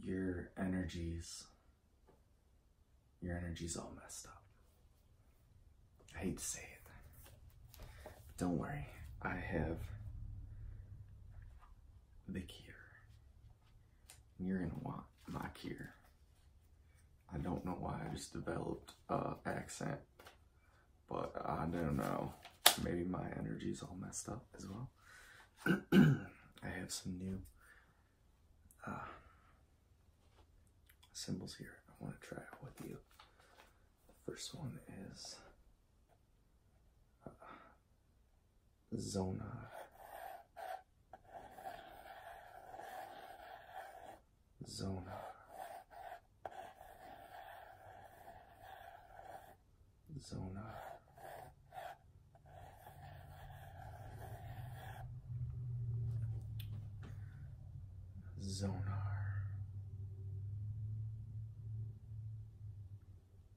Your energies, your energy's all messed up. I hate to say it, but don't worry, I have the cure. You're gonna want my cure. I don't know why I just developed uh accent but I don't know. Maybe my energy's all messed up as well. I have some new uh, symbols here I want to try out with you. The first one is uh, Zona zone. Zona. Zonar.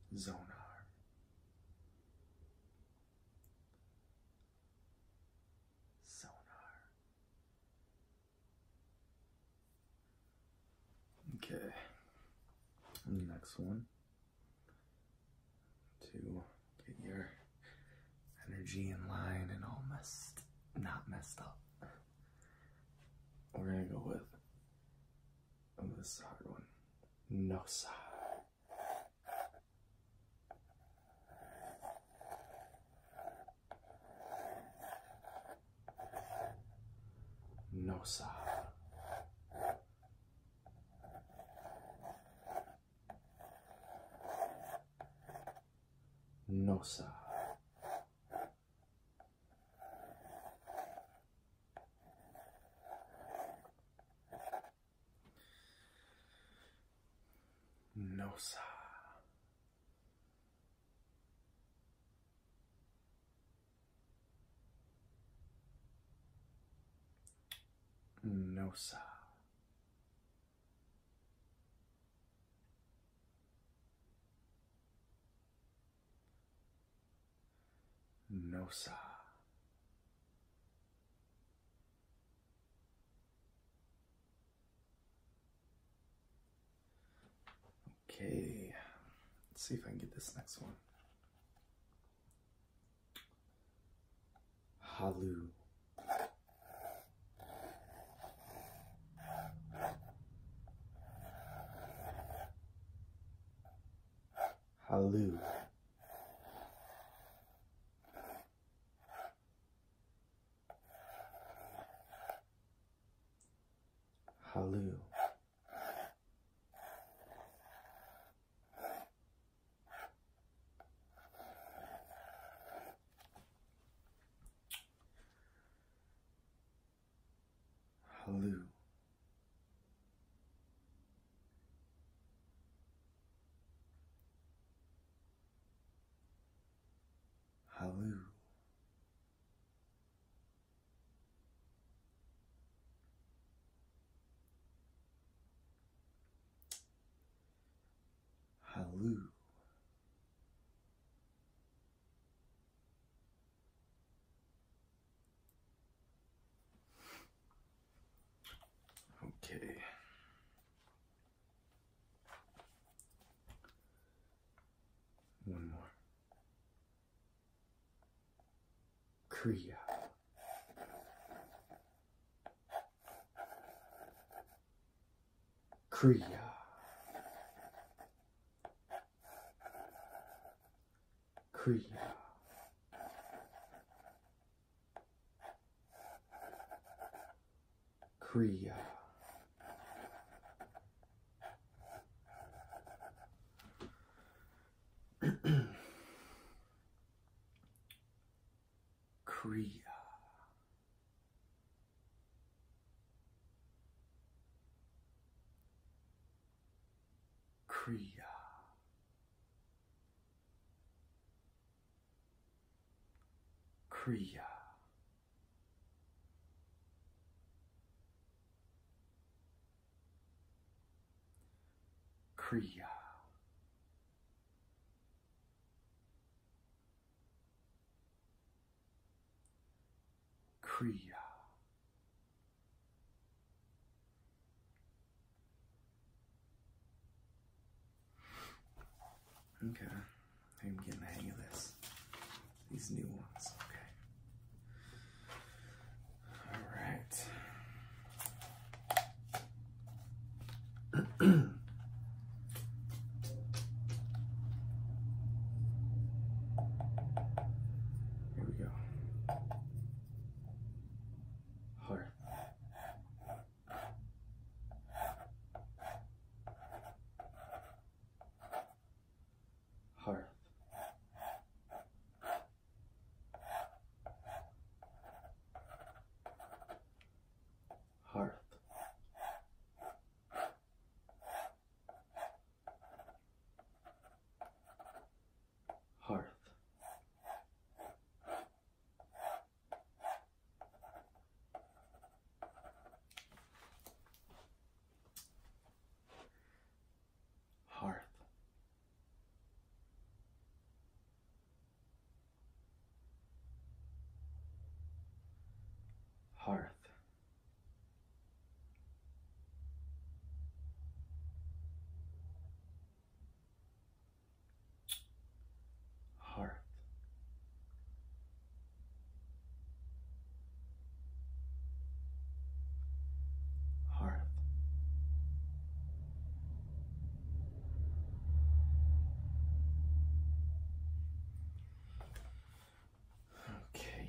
Zonar. Sonar. Okay. And the next one to get your energy in line and all messed not messed up. We're gonna go with this hard one. No sigh. No sob. No sob. No sob. Nosa. Nosa. Okay, let's see if I can get this next one. Halu. Halu. Halu. Halu. Hello. Hello. Okay. One more. Kriya. Kriya. Kriya. Kriya. Kriya. Kriya. Kriya. Kriya. Kriya. Okay. I'm getting the hang of this. These new ones, okay. All right. hearth. Hearth. Hearth. Hearth. Hearth. Hearth hearth. Okay,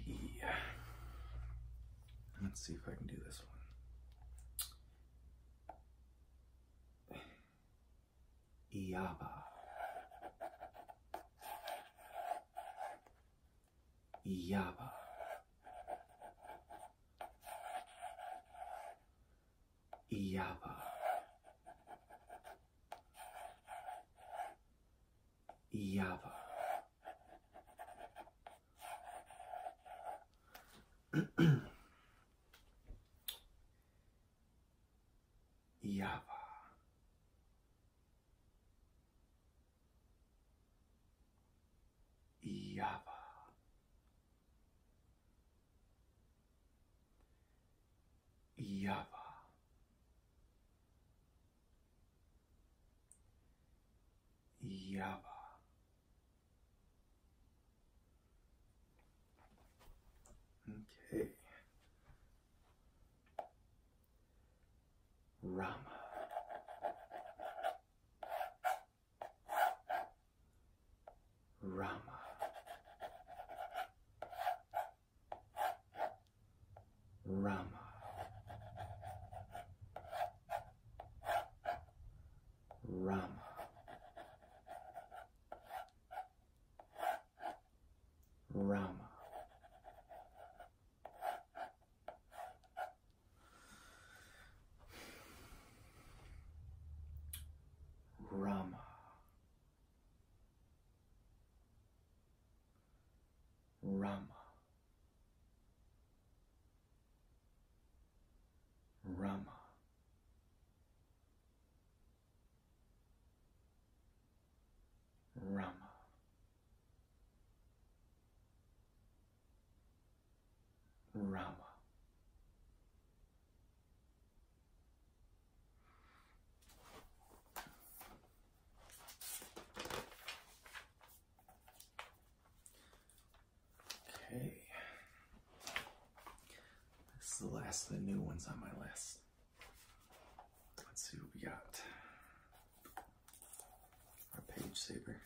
let's see if I can do this one. Iaba. Iaba. Iaba. Iaba. Java. Java. Java. Java. Okay. Rama. Rama. Rama. Rama. Rama. Rama. Rama. Rama. Rama. Rama. Okay. This is the last of the new ones on my list. Let's see what we got. Our page saber.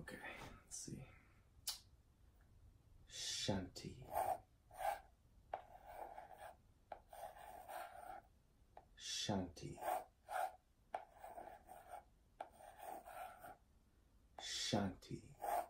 Okay, let's see. Shanti. Shanti. Shanti.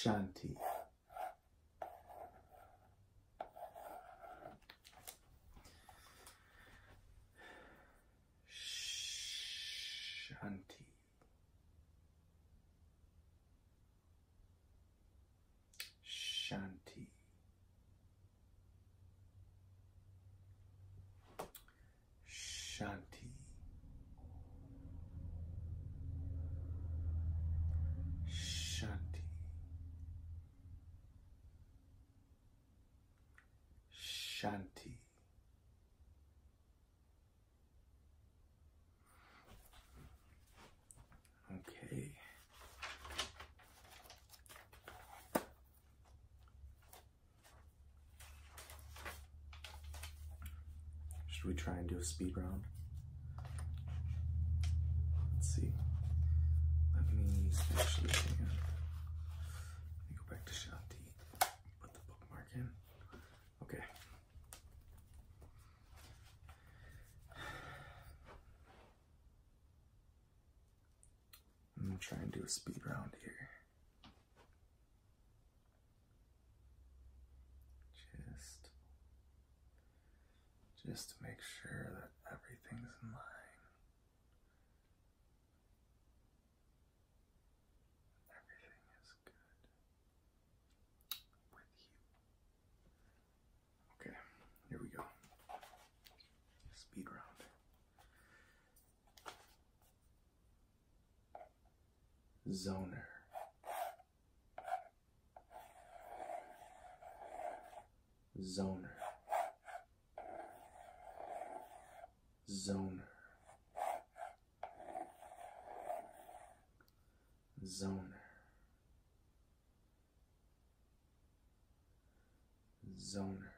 Shanti. Shanti. Shanti. Shanti. Shanti. Shanti. Okay. Should we try and do a speed round? Let's see. Let me actually Let me go back to Shanti. Put the bookmark in. Okay. I'm gonna try and do a speed round here. Just just to make sure that everything's in line. Everything is good with you. Okay, here we go. Speed round. Zoner. Zoner. Zoner. Zoner. Zoner.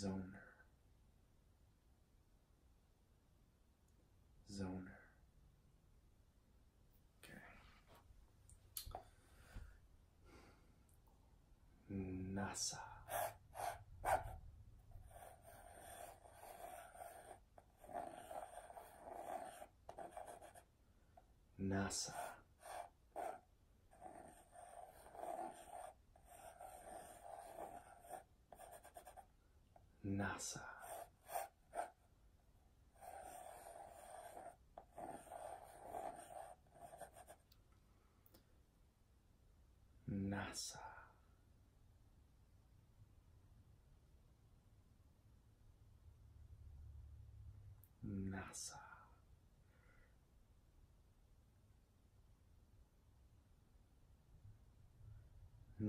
Zoner. Zoner. Okay. NASA. NASA. NASA. NASA. NASA.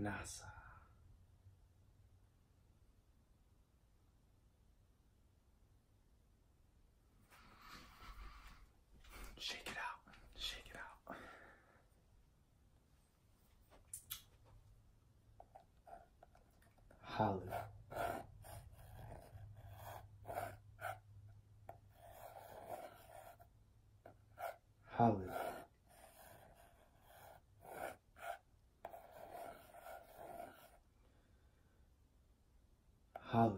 NASA. Shake it out, shake it out hollow. Hollow. Hollow.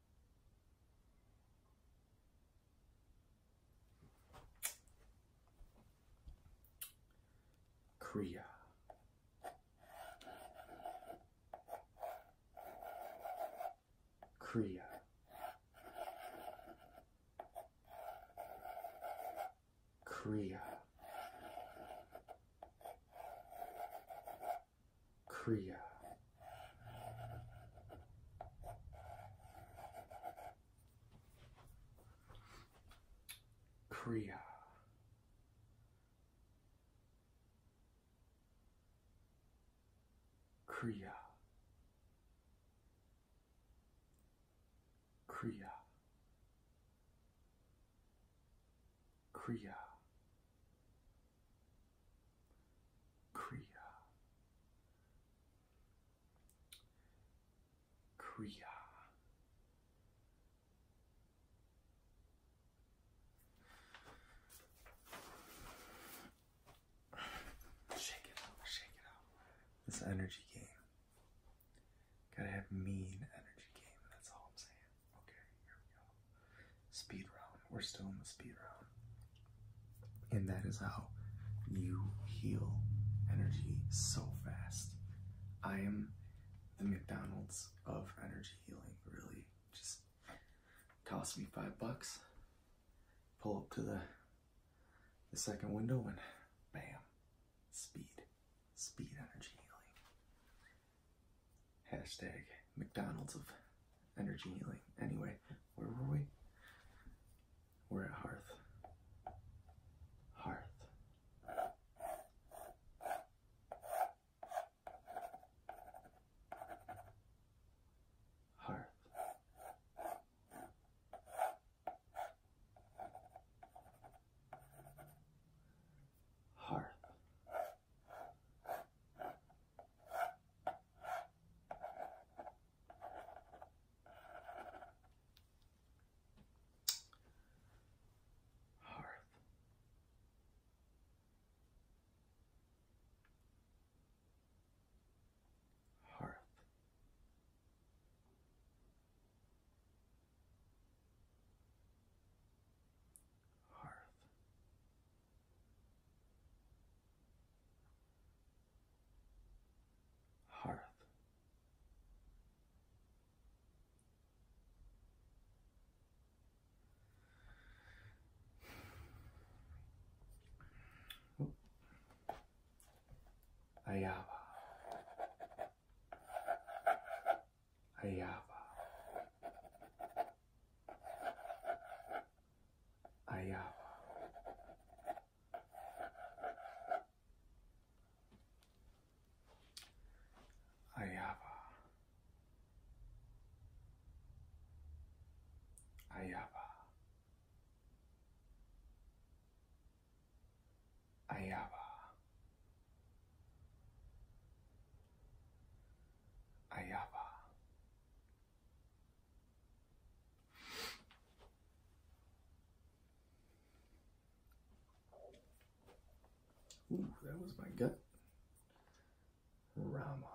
Korea. Korea. Korea. Kriya. Kriya. Kriya. Kriya. Kriya. Kriya. Kriya. Shake it out, shake it out. This energy game. Gotta have mean energy game, that's all I'm saying. Okay, here we go speed round. We're still in the speed round. And that is how you heal energy so fast. I am the McDonald's of energy healing, really. Just cost me five bucks, pull up to the the second window and bam. Speed. Speed energy healing. Hashtag McDonald's of energy healing. Anyway, where were we? We're at Hearth. Hearth. Hearth. Hearth. Hearth. Hearth. Hearth hearth. Oh. Ayava. Ayava. 哎呀！哎呀吧！哎呀吧！哎呀吧！哎呀吧！Ooh, that was my gut. Rama.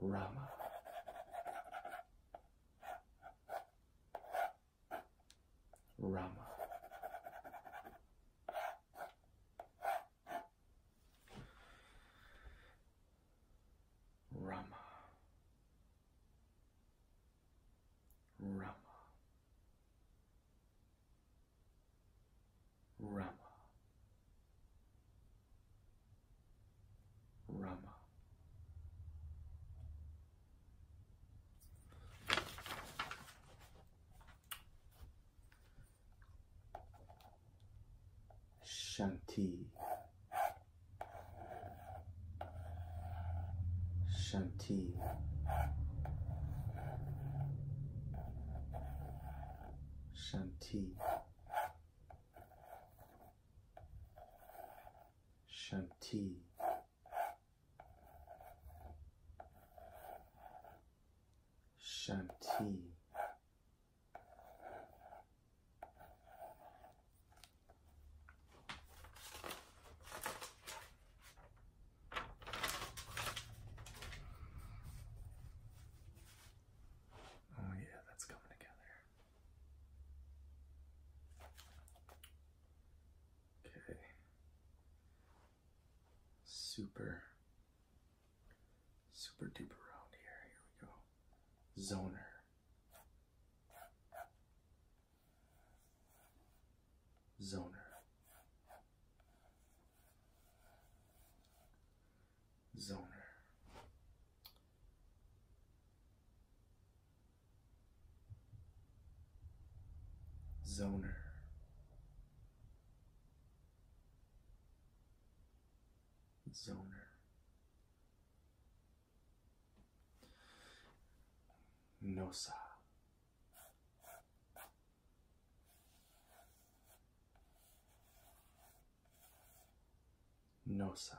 Rama. Rama. Rama. Rama. Rama. Rama. Shanti. Shanti. Shanti. Shanti. Shanti. Oh, yeah, that's coming together. Okay super, super duper round here. Here we go. Zoner. Zoner. Zoner. Zoner. Zoner. Nosa. Nosa.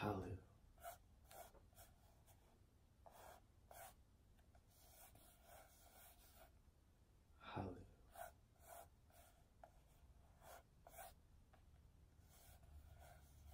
Hallelujah. Hallelujah.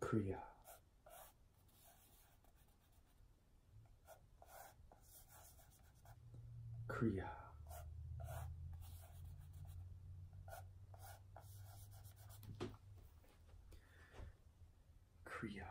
Kriya. Kriya. Kriya.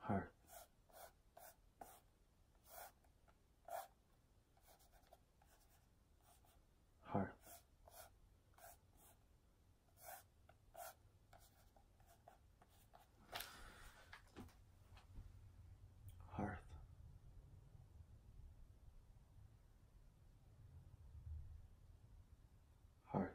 heart. Heart. Hearth. Hearth.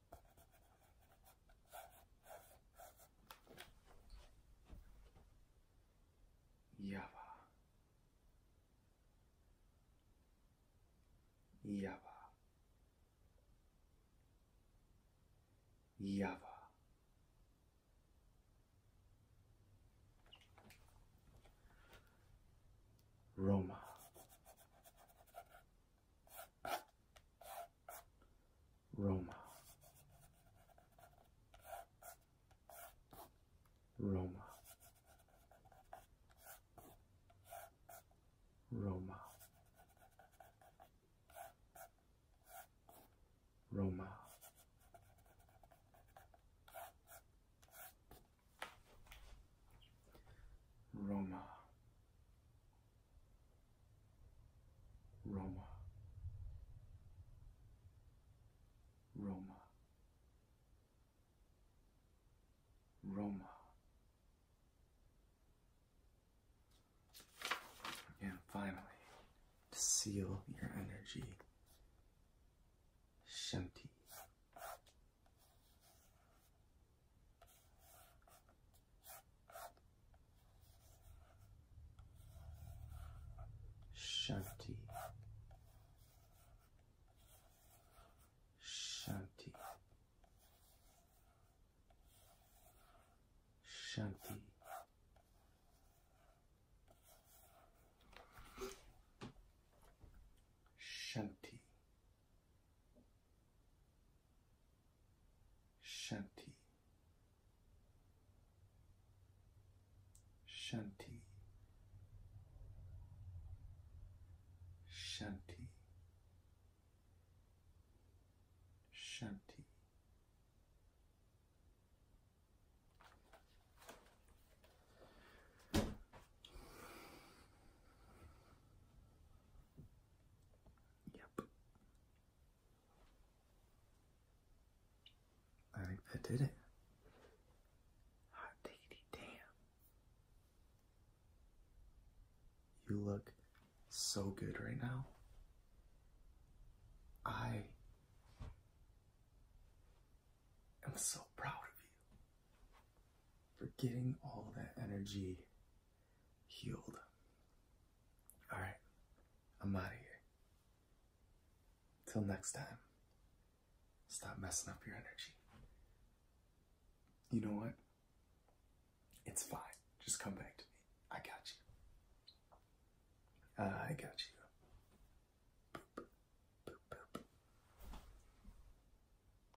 Yava. Yava. Yava. Roma. Roma. Roma. Roma. Roma. Roma. Roma, Roma, Roma. And finally, seal your energy, Shanti, Shanti. Shanti. Shanti. Shanti. Shanti. Shanti. Shanti. Shanti. Yep. I think that did it. damn. You look so good right now. I am so proud of you for getting all that energy healed. All right, I'm out of here. Till next time, stop messing up your energy. You know what? It's fine. Just come back to me. I got you. Uh, I got you.